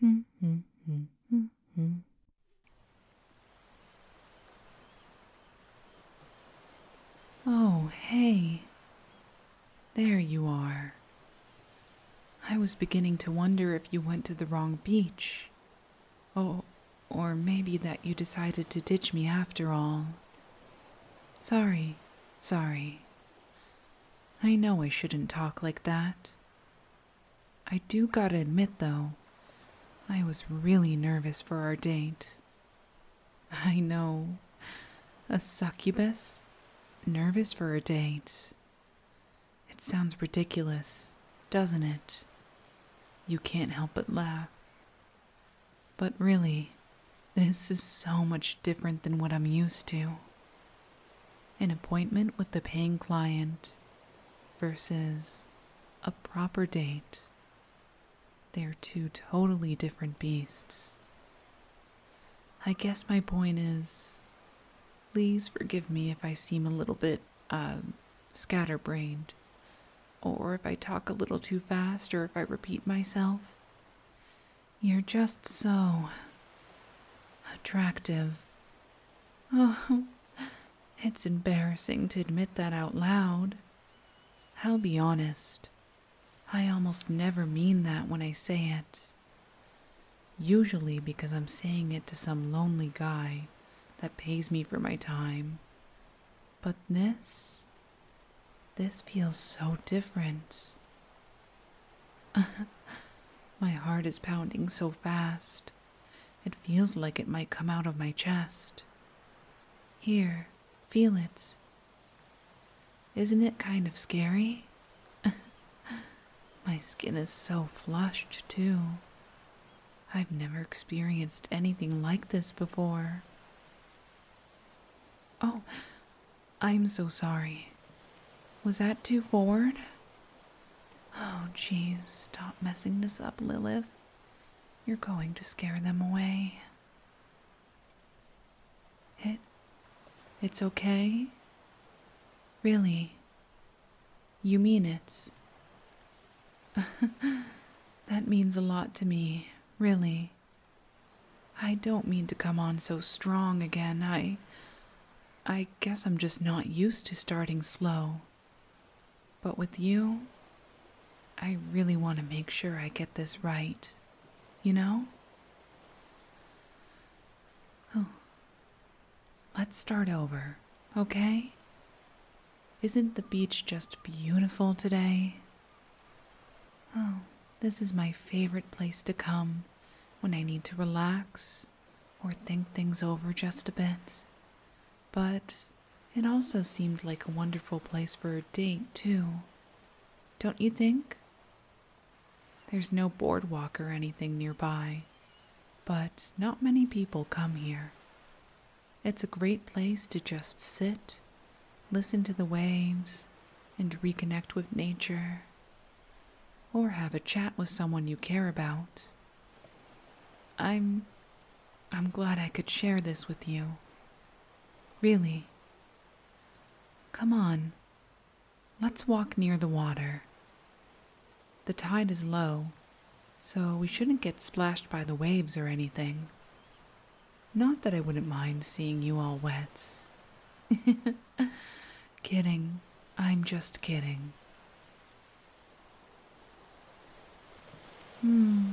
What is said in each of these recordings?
Hmm, hmm, hmm. Oh, hey. There you are. I was beginning to wonder if you went to the wrong beach. Oh, or maybe that you decided to ditch me after all. Sorry, sorry. I know I shouldn't talk like that. I do gotta admit, though, I was really nervous for our date. I know. A succubus? Nervous for a date. It sounds ridiculous, doesn't it? You can't help but laugh. But really, this is so much different than what I'm used to an appointment with the paying client versus a proper date. They are two totally different beasts. I guess my point is please forgive me if I seem a little bit uh, scatterbrained, or if I talk a little too fast, or if I repeat myself. You're just so attractive. Oh, it's embarrassing to admit that out loud. I'll be honest, I almost never mean that when I say it. Usually because I'm saying it to some lonely guy that pays me for my time. But this, this feels so different. my heart is pounding so fast, it feels like it might come out of my chest. Here, feel it. Isn't it kind of scary? my skin is so flushed, too. I've never experienced anything like this before. Oh, I'm so sorry. Was that too forward? Oh, jeez, stop messing this up, Lilith. You're going to scare them away. It. It's okay? Really? You mean it? that means a lot to me, really. I don't mean to come on so strong again. I. I guess I'm just not used to starting slow. But with you, I really want to make sure I get this right, you know? Oh. Let's start over, okay? Isn't the beach just beautiful today? Oh, this is my favorite place to come when I need to relax or think things over just a bit. But it also seemed like a wonderful place for a date, too. Don't you think? There's no boardwalk or anything nearby, but not many people come here. It's a great place to just sit, listen to the waves, and reconnect with nature or have a chat with someone you care about. I'm I'm glad I could share this with you. Really. Come on. Let's walk near the water. The tide is low, so we shouldn't get splashed by the waves or anything. Not that I wouldn't mind seeing you all wet. Kidding. I'm just kidding. Hmm.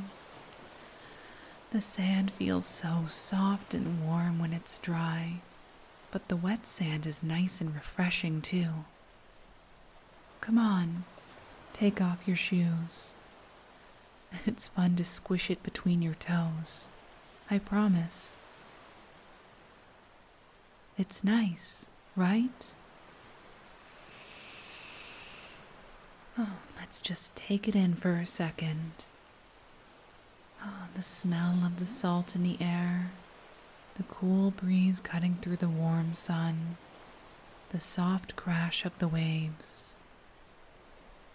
The sand feels so soft and warm when it's dry, but the wet sand is nice and refreshing too. Come on, take off your shoes. It's fun to squish it between your toes. I promise. It's nice, right? Oh, let's just take it in for a second. Oh, the smell of the salt in the air, the cool breeze cutting through the warm sun, the soft crash of the waves.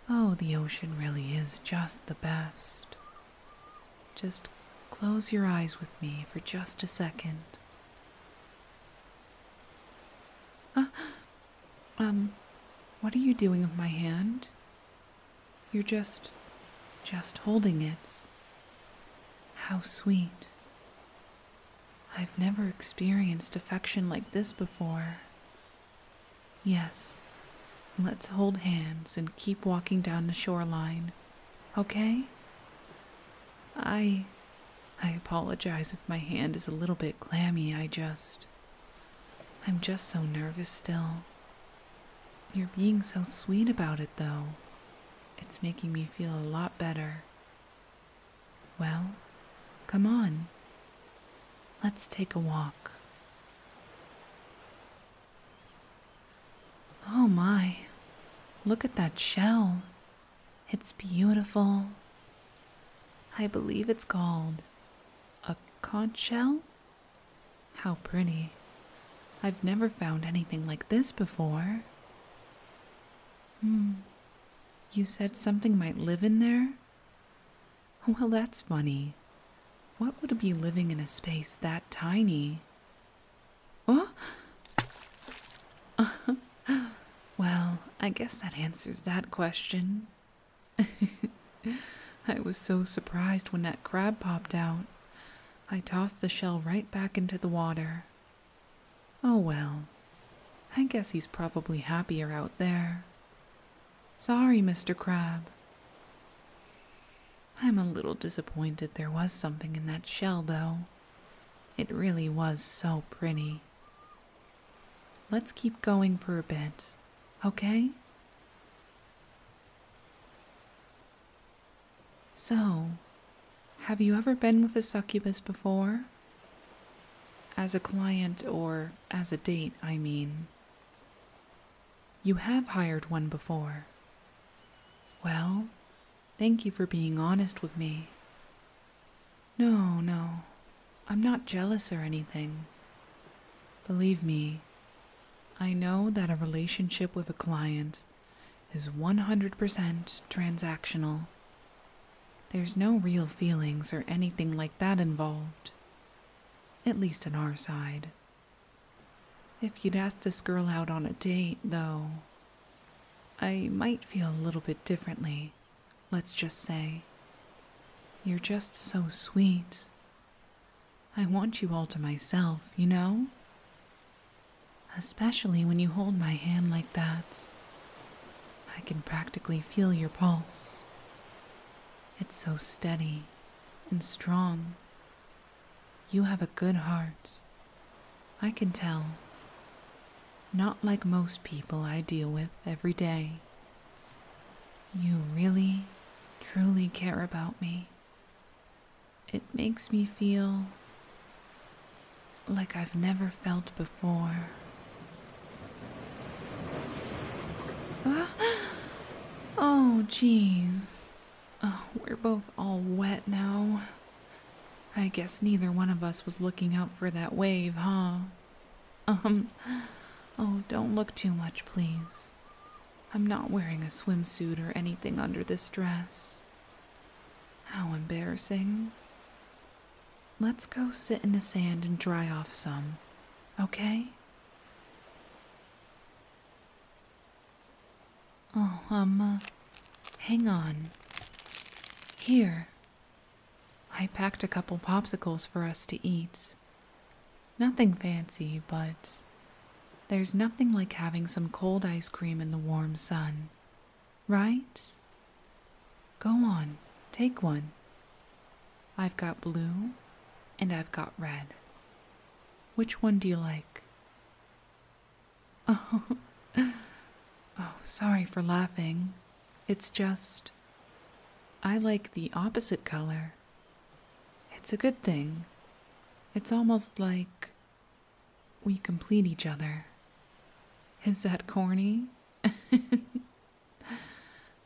Oh, the ocean really is just the best. Just close your eyes with me for just a second. Uh, um, what are you doing with my hand? You're just, just holding it. How sweet. I've never experienced affection like this before. Yes, let's hold hands and keep walking down the shoreline. Okay? I. I apologize if my hand is a little bit clammy. I just. I'm just so nervous still. You're being so sweet about it, though. It's making me feel a lot better. Well, come on. Let's take a walk. Oh my, look at that shell. It's beautiful. I believe it's called a conch shell. How pretty. I've never found anything like this before. Hmm. You said something might live in there? Well, that's funny. What would be living in a space that tiny? Oh? well, I guess that answers that question. I was so surprised when that crab popped out. I tossed the shell right back into the water. Oh well, I guess he's probably happier out there. Sorry, Mr. Crab. I'm a little disappointed there was something in that shell, though. It really was so pretty. Let's keep going for a bit, okay? So, have you ever been with a succubus before? As a client or as a date, I mean. You have hired one before. Well, thank you for being honest with me. No, no, I'm not jealous or anything. Believe me, I know that a relationship with a client is 100% transactional. There's no real feelings or anything like that involved, at least on our side. If you'd asked this girl out on a date, though, I might feel a little bit differently, let's just say. You're just so sweet. I want you all to myself, you know? Especially when you hold my hand like that. I can practically feel your pulse. It's so steady and strong you have a good heart. I can tell. Not like most people I deal with every day. You really, truly care about me. It makes me feel like I've never felt before. Oh, jeez. Oh, we're both all wet now. I guess neither one of us was looking out for that wave, huh? Um, oh, don't look too much, please. I'm not wearing a swimsuit or anything under this dress. How embarrassing. Let's go sit in the sand and dry off some, okay? Oh, um, uh, hang on. Here. I packed a couple popsicles for us to eat. Nothing fancy, but there's nothing like having some cold ice cream in the warm sun. Right? Go on, take one. I've got blue and I've got red. Which one do you like? Oh. oh, sorry for laughing. It's just. I like the opposite color. It's a good thing. It's almost like. we complete each other. Is that corny?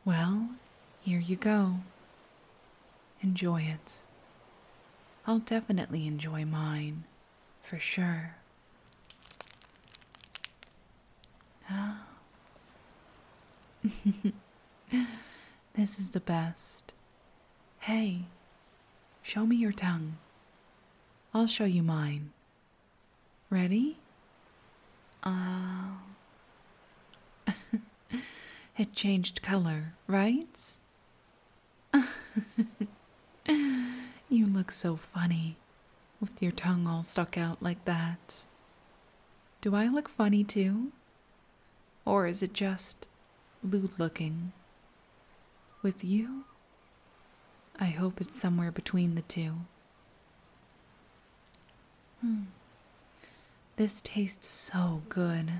well, here you go enjoy it. I'll definitely enjoy mine, for sure. Ah. this is the best. Hey, show me your tongue. I'll show you mine. Ready? Ah. it changed color, right? you look so funny with your tongue all stuck out like that. Do I look funny too? Or is it just lewd looking? With you? I hope it's somewhere between the two. Hmm. This tastes so good.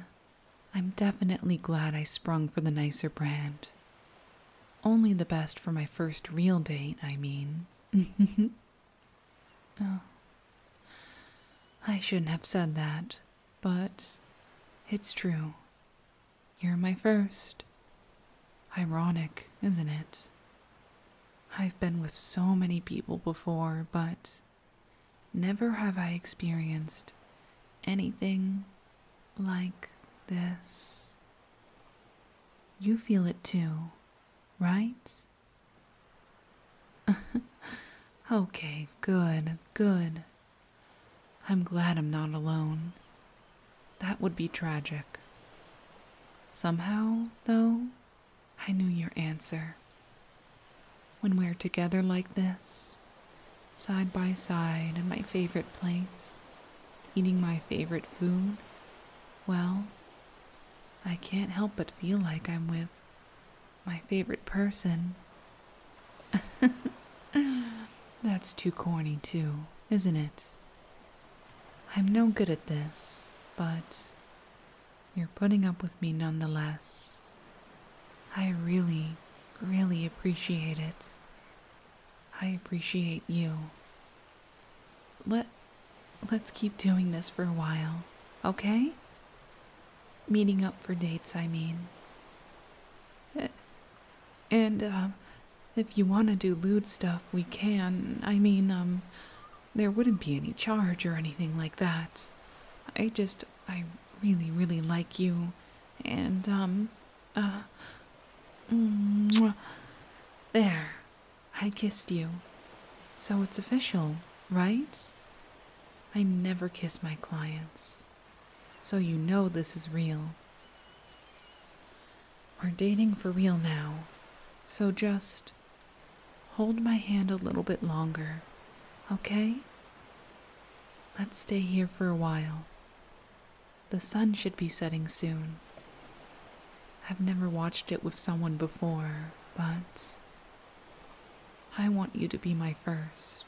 I'm definitely glad I sprung for the nicer brand. Only the best for my first real date, I mean. oh. I shouldn't have said that, but it's true. You're my first. Ironic, isn't it? I've been with so many people before, but Never have I experienced anything like this. You feel it too, right? okay, good, good. I'm glad I'm not alone. That would be tragic. Somehow, though, I knew your answer. When we're together like this, side by side in my favorite place, eating my favorite food, well, I can't help but feel like I'm with my favorite person. That's too corny, too, isn't it? I'm no good at this, but you're putting up with me nonetheless. I really, really appreciate it. I appreciate you. Let let's keep doing this for a while, okay? Meeting up for dates, I mean. Eh, and um if you want to do lewd stuff, we can. I mean, um there wouldn't be any charge or anything like that. I just I really, really like you. And, um, uh, there. I kissed you. So it's official, right? I never kiss my clients. So you know this is real. We're dating for real now. So just hold my hand a little bit longer, okay? Let's stay here for a while. The sun should be setting soon. I've never watched it with someone before, but I want you to be my first.